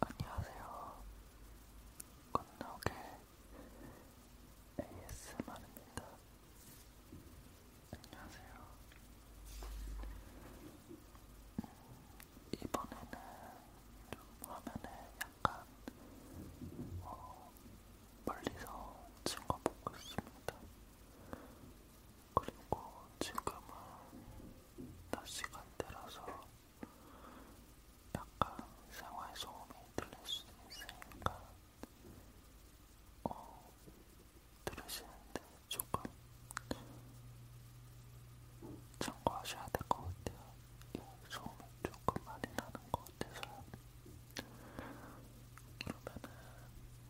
안녕하세요. 건너게 ASMR입니다. 안녕하세요. 음, 이번에는 좀 화면에 약간 어, 멀리서 찍어보고 있습니다. 그리고 지금은 낮 시간대라서 약간 생활 소음이 들릴 수 있으니까 어, 들으시는데 조금 참고하셔야 될 것 같아요. 이 소음이 조금 많이 나는 것 같아서요. 그러면은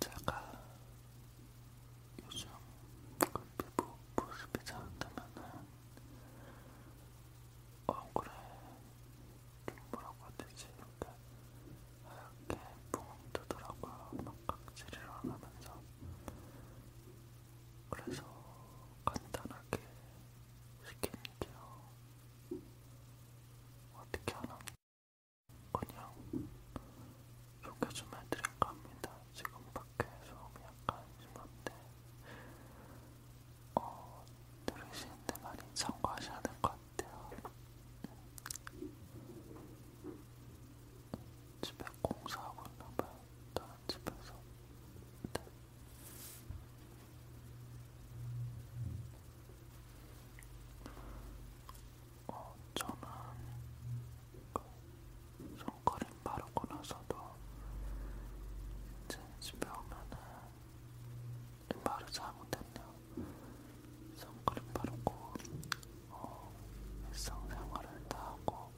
제가 요즘 그 피부 보습이 잘안되면은 얼굴에 좀 뭐라고 해야 되지? 이렇게 하얗게 붕이 뜨더라고요. 막 각질이 일어나면서 그래서 간단하게 시키는데요. 어떻게 하나? 그냥 소개 좀 해드릴까 합니다. 지금 밖에 소음이 약간 심한데 어, 들으시는데 많이 참고하셔야 될 것 같아요. 집에 공사하고 있나봐요. 다른 집에서. 네. 어, 저는 그 손크림 바르고 나서도 이제 집에 오면은 말을 잘못했네요. 선크림 바르고 어, 일상생활을 다 하고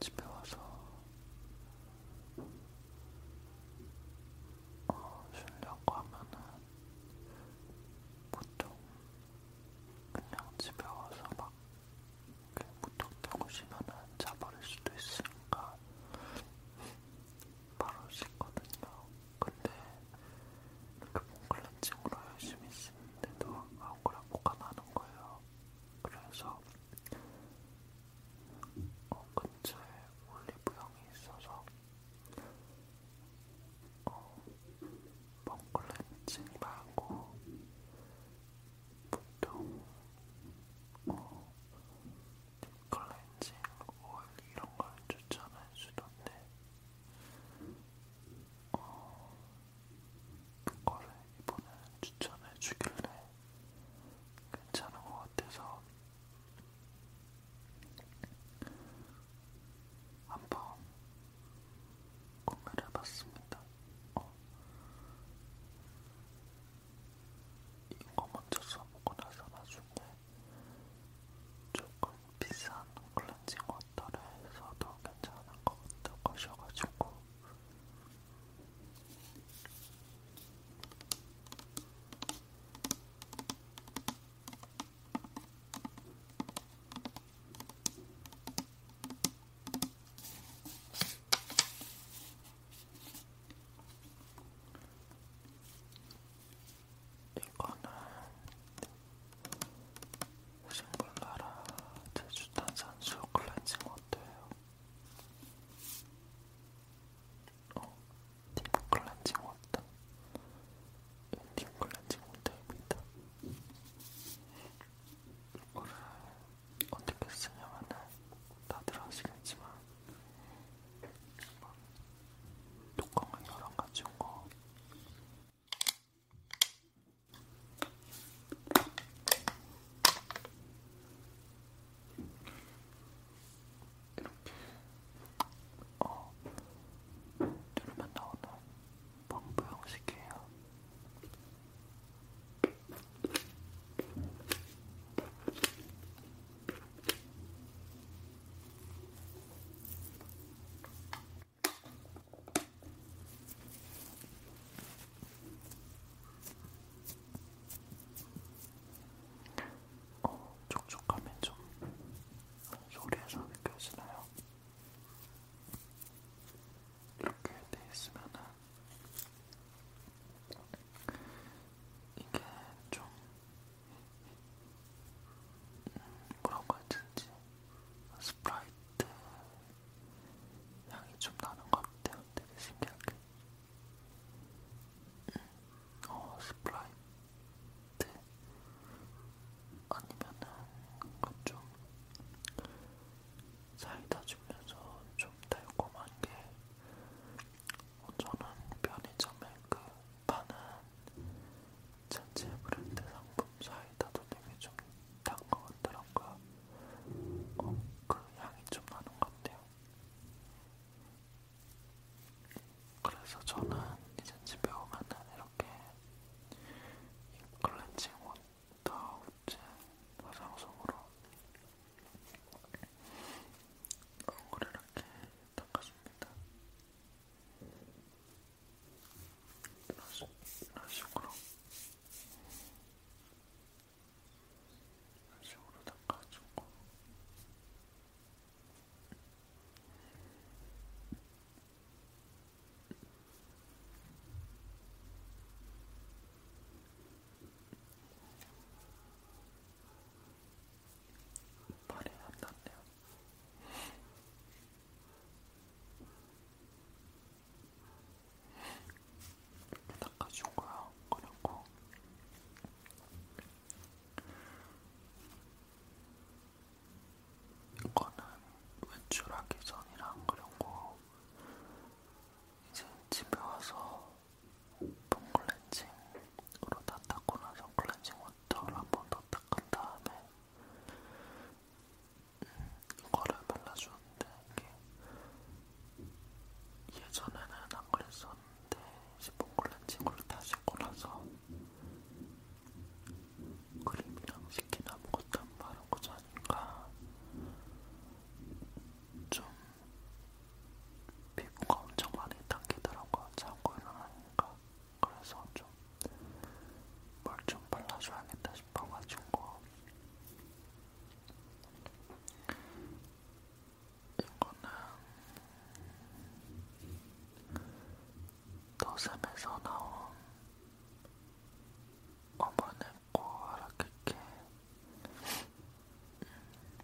집에 와서 어, 쉬려고 하면은 보통 그냥 집에 와서 막 무턱 펴고 쉬면은 자버릴 수도 있으니까 바로 씻거든요. 근데 몽글런칭으로 열심히 쓰는데도 아무거나 뭐가 나는 거예요. 그래서 어, 근처에 올리브영이 있어서 어, 몽글런칭 말고 보통 어, 딥클렌징 오일 이런 걸 추천할 수도 있는데 어, 그거를 이번에 추천해 주길래 괜찮은 것 같아서 한번 구매를 해봤습니다. 어. 이거 먼저 써보고 나서 나중에 조금 비싼 클렌징 워터를 써도 괜찮은 것 같다고 하셔가지고 이거는 신불나라 제주탄산수 클렌징 워터예요. 어, 딥 클렌징 워터. 딥 클렌징 워터입니다. 이거를 어떻게 쓰냐면은 다들 아시겠지만 뚜껑을 열어가지고 이렇게 어 누르면 나오는 펌프 형식이에요. 어, 촉촉하면 좀 소리에서 느껴지나요? 이렇게 돼 있으면은 이게 좀 그런 거였든지 스프라이트 향이 좀 나는 것 같아요. 되게 신기하게. 음. 어, 스프라이트 아니면은 그좀 사이다 주면서 좀 달콤한 게 어, 저는 편의점에 그 파는 전체 브랜드 상품 사이다도 되게 좀단것 같더라고요. 어, 그 향이 좀 나는 것 같아요. 그래서 저는 이제 집에 오면은 이렇게 이 클렌징 워터 우제 화장솜으로 얼굴을 이렇게 닦아줍니다. 이런 식으로 이런 식으로 닦아주고 발이 안 났네요. 닦아준 거야. 그리고 이거는 외출하기 전이랑 그리고 이제 집에 와서 폼클렌징으로 다 닦고 나서 클렌징 원터를 한번 더 닦은 다음에 음, 거를 발라주는데 이게 예전에는 안 그랬었는데 스폰 클렌징으로 다시 골라서 크림이랑 스킨 아무것도 안 바르고 자니까 좀 피부가 엄청 많이 당기더라고요. 자고 일어나니까 그래서 좀뭘좀 좀 발라줘야겠다 싶어가지고 이거는 더샘에서 나온 어머니고 아라케케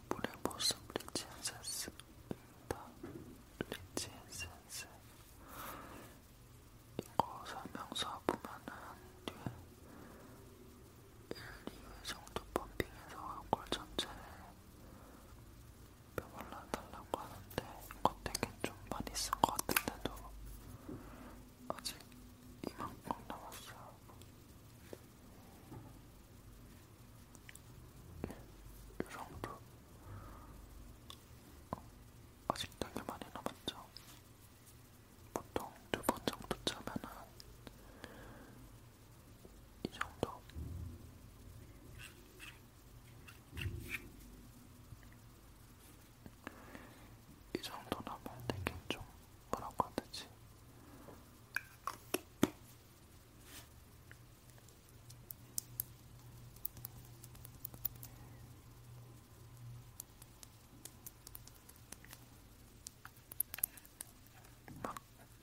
브레보스 브리지 센스 다 리치 에센스 이거 설명서 보면은 뒤에 1, 2회 정도 펌핑해서 얼굴 전체를 펴발라달라고 하는데 이거 되게 좀 많이 쓴 것 같은데도 아직 이만큼 남았어요. 이 정도. 어, 아직 되게 많이 남았죠. 보통 두 번 정도 짜면은 이 정도. 이 정도 나면 되게 좀 뭐라고 해야 되지? 막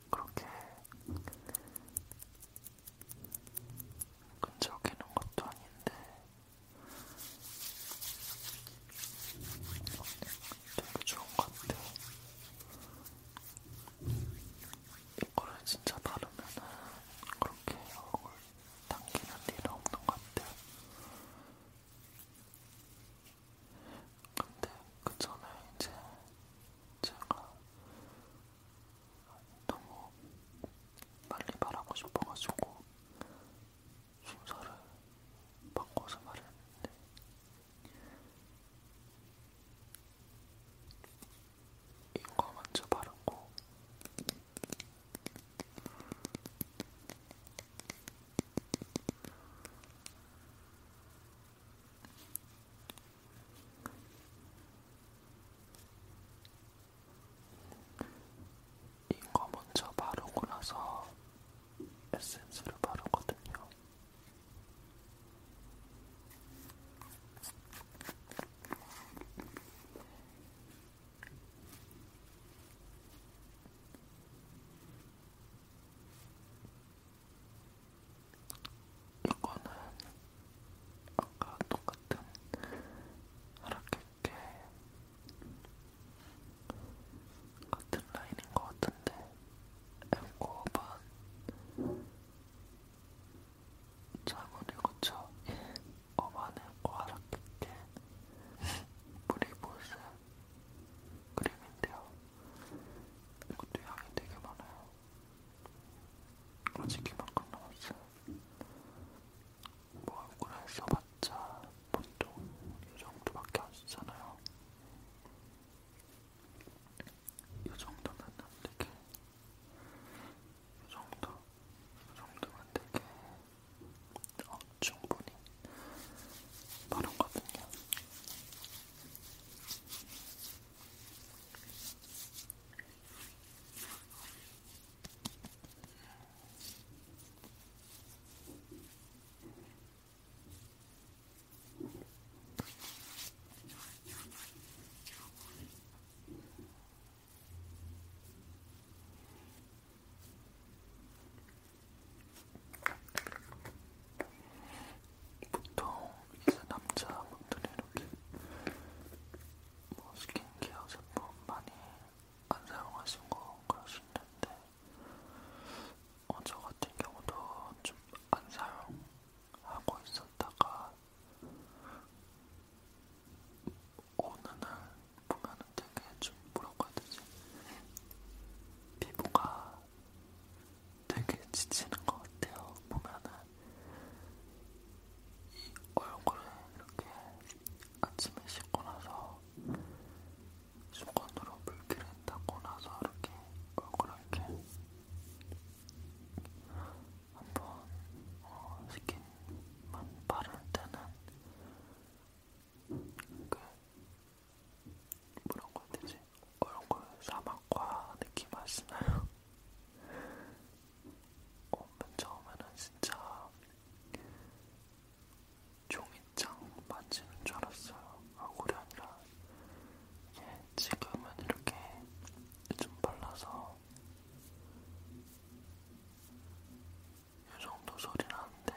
그렇게 끈적이는 것도 아닌데 되게 좋은 것 같아요. 이거를 진짜 바르면은 그렇게 얼굴 당기는 일은 없는 것 같아요. 근데 그 전에 이제 제가 너무 빨리 말하고 싶어가지고 순서를 바꿔서 말했는데 이거 먼저 바르고 이거 먼저 바르고 나서 에센스를 바르거든요. 이거는 아까 똑같은 하락했게 같은 라인인 것 같은데 M9반 잘못 읽었죠? 예. 어반은 과락했게 물이 보스 그림인데요. 이것도 양이 되게 많아요. 아직 이만큼 남았어요. 뭐 얼굴에 써봤자 보통 이 정도밖에 안 쓰잖아요. 이 정도면 안 되게, 이 정도, 이 정도면 되게 어, 충분히 바른거든요. 이 보통 이제 남자분들이 이렇게 뭐 스킨케어 제품 많이 안 사용하신 거 그럴 수 있는데 어, 저 같은 경우도 좀 안 사용하고 있었다가 어느 날 보면은 되게 좀 뭐라고 해야 되지? 피부가 되게 지치는 것 같아요. 보면은 이 얼굴에 이렇게 아침에 씻고 나서 수건으로 물기를 닦고 나서 이렇게 얼굴하게 한번 어, 스킨만 바를 때는 그 뭐라고 해야 되지? 얼굴 사막과 느낌 아시나요? 어, 맨 처음에는 진짜 종이 밑장 맞지는 줄 알았어요. 아구리 아니라 예, 지금은 이렇게 좀 발라서 이 정도 소리 나는데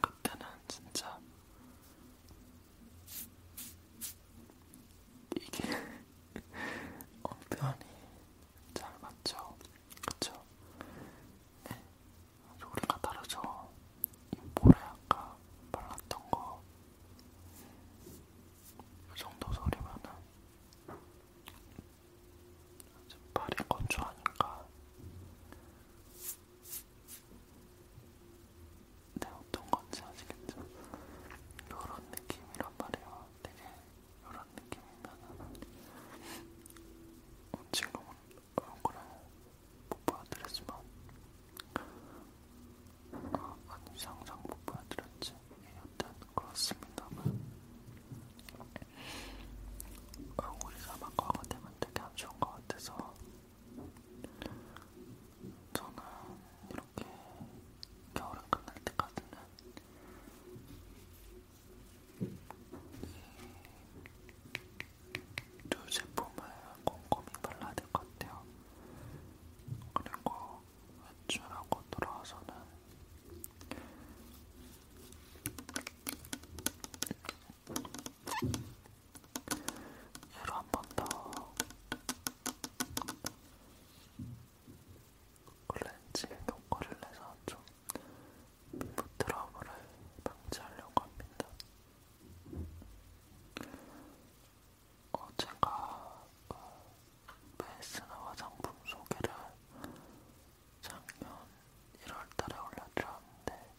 그때는 진짜 이게 어, 표현이 잘 맞죠? 그쵸? 네, 소리가 다르죠? 이 볼에 아까 발랐던 거, 이 정도 소리면은 발이 건조하니까 네, 어떤 건지 아시겠죠? 요런 느낌이란 말이에요. 되게 요런 느낌이면은 친구분 어, 얼굴에 보여드렸지만 아, 아니 상상 못 보여드렸지 예, 여튼 그렇습니다만 아, 우리가 막 과거 되면 되게 안 좋은 것 같아서 저는 이렇게 겨울이 끝날 때까지는 두 제품을 꼼꼼히 발라야 될 것 같아요. 그리고 외출하고 돌아와서는 얘로 한 번더 클렌징 효과를 내서 좀 부드러움을 방지하려고 합니다. 어, 제가 매일 그 쓰는 화장품 소개를 작년 1월달에 올려드렸는데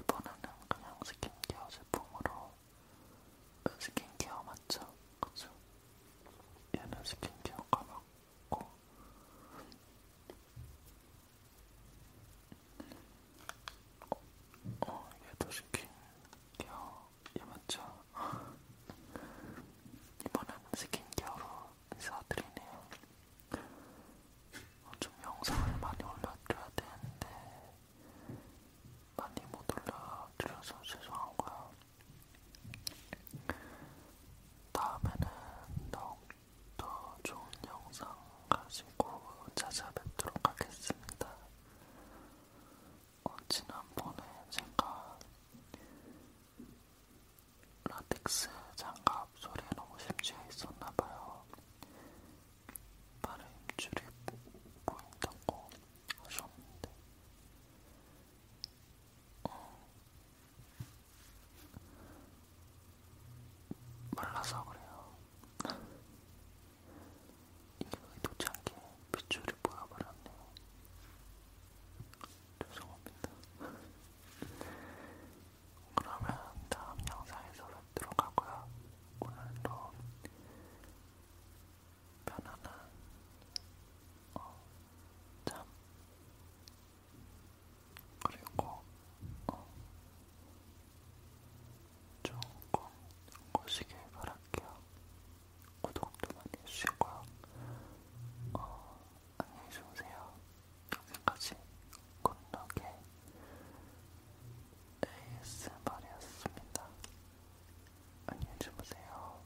이번에는 그냥 스킨케어 제품으로 스킨케어 맞죠? 그죠? 얘는 스킨케어가 맞고 어, 어 얘도 시킨 겨우 얘 맞죠? 이번엔 스킨케어로 인사드리네요. 어, 좀 영상을 많이 올려드려야 되는데 많이 못 올려드려서 죄송하고요. 다음에는 더욱 더 좋은 영상 가지고 찾아뵙도록 하겠습니다. 어, 지난번에 제가 라텍스 장갑 소리에 너무 심취해 있었나봐요. 발에 힘줄이 보인다고 하셨는데 어, 말라서 그래요. 이게 의도치 않게 빗줄이 보여버렸네요. 죄송합니다. 그러면 다음 영상에서 뵙도록 하고요. 오늘도 편안한 어, 잠 그리고 어, 좋은 꿈 꾸시길 바랄게요. 구독도 많이 해주시고요. 어, 안녕히 주무세요. 여기까지 굿럭의 ASMR이었습니다. 안녕히 주무세요.